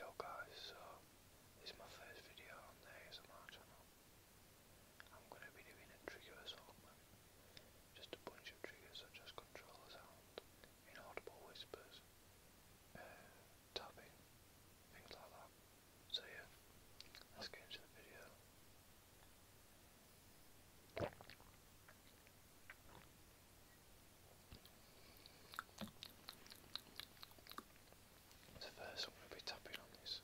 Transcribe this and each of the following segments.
Yo guys, so this is my first video on the ASMR channel. I'm going to be doing a trigger assortment. Just a bunch of triggers such as control inaudible whispers, uh, tapping, things like that. So yeah, let's get into the video. So first I'm going to be tapping on this.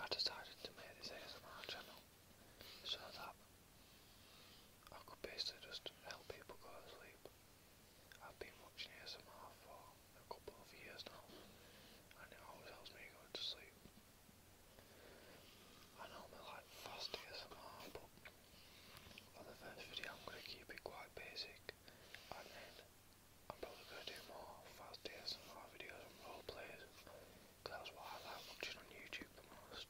I decided to make this ASMR channel so that I could basically just help people go to sleep. I've been watching ASMR for a couple of years now, and it always helps me go to sleep. I normally like fast ASMR, but for the first video I'm going to keep it quite basic, and then I'm probably going to do more fast ASMR videos and roleplays, because that's what I like watching on YouTube the most.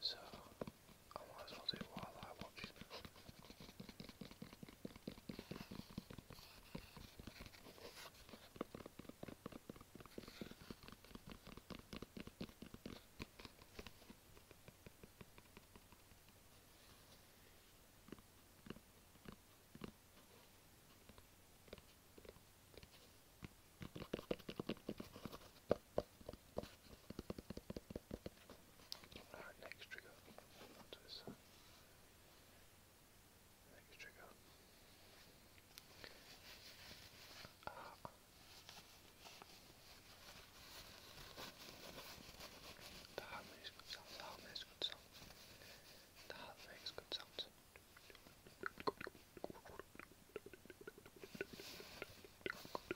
So, I might as well do it while I watch it. Alright, next trigger. Onto this side. Next trigger. Ah. The heart makes good sounds, the heart makes good sounds. The heart makes good sounds.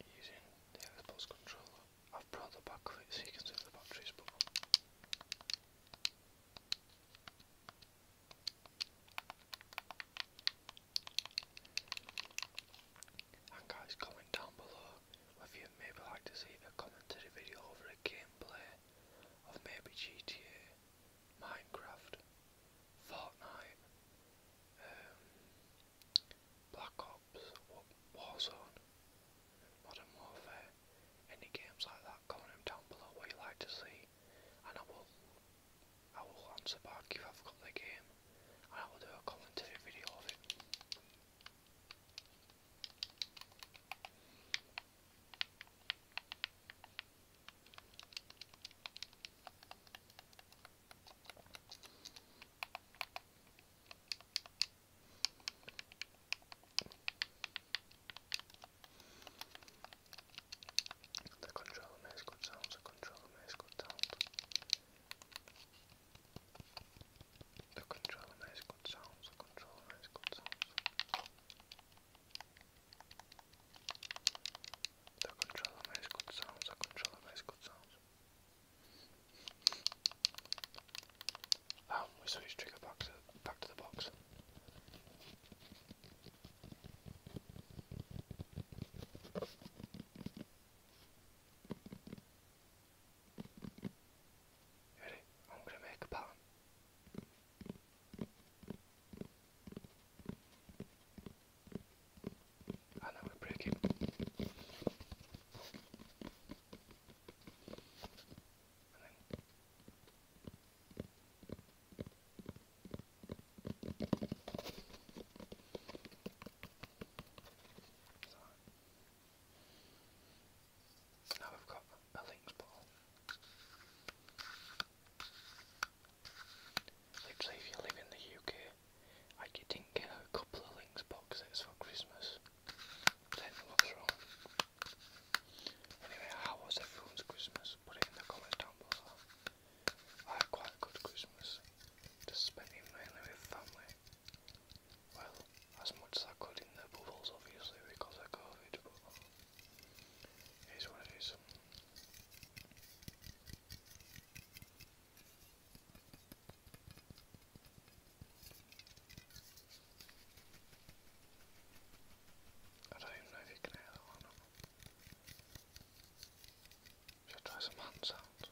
Using the Xbox controller. I've brought the back you can see the batteries, but. guys, comment down below whether you'd maybe like to see a commentary video over a gameplay of maybe GTA, Minecraft, Fortnite, um, Black Ops, Warzone, Modern Warfare, any games like that, comment down below what you like to see, and I will, I will answer back if I've got the game, and I will do a commentary video of it. The controller makes good sounds, the controller makes good sounds, the controller makes good sounds. The controller makes good sounds, the controller makes good sounds. Oh, we switched trigger box back to the box. Ready? I'm gonna make a pattern i know gonna break now we've got a links ball. Literally, if you live in the UK I didn't get a couple of links boxes for Christmas. Then what's wrong? Anyway, how was everyone's Christmas? Put it in the comments down below. I had quite a good Christmas. Just spent mainly with family. Well, as much as I could in the bubbles obviously because of COVID, but it is what it is. I don't know if you can hear that one. Should I try some hand sounds?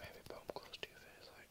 Maybe bump close to your face like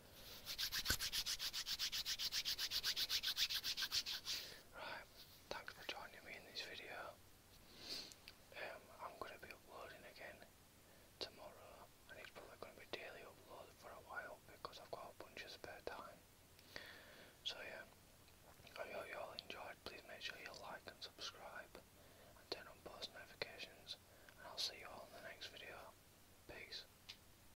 Right, thanks for joining me in this video. Um, I'm going to be uploading again tomorrow, and it's probably going to be daily upload for a while because I've got a bunch of spare time. So yeah, I hope you all enjoyed. Please make sure you like and subscribe, and turn on post notifications. And I'll see you all in the next video. Peace.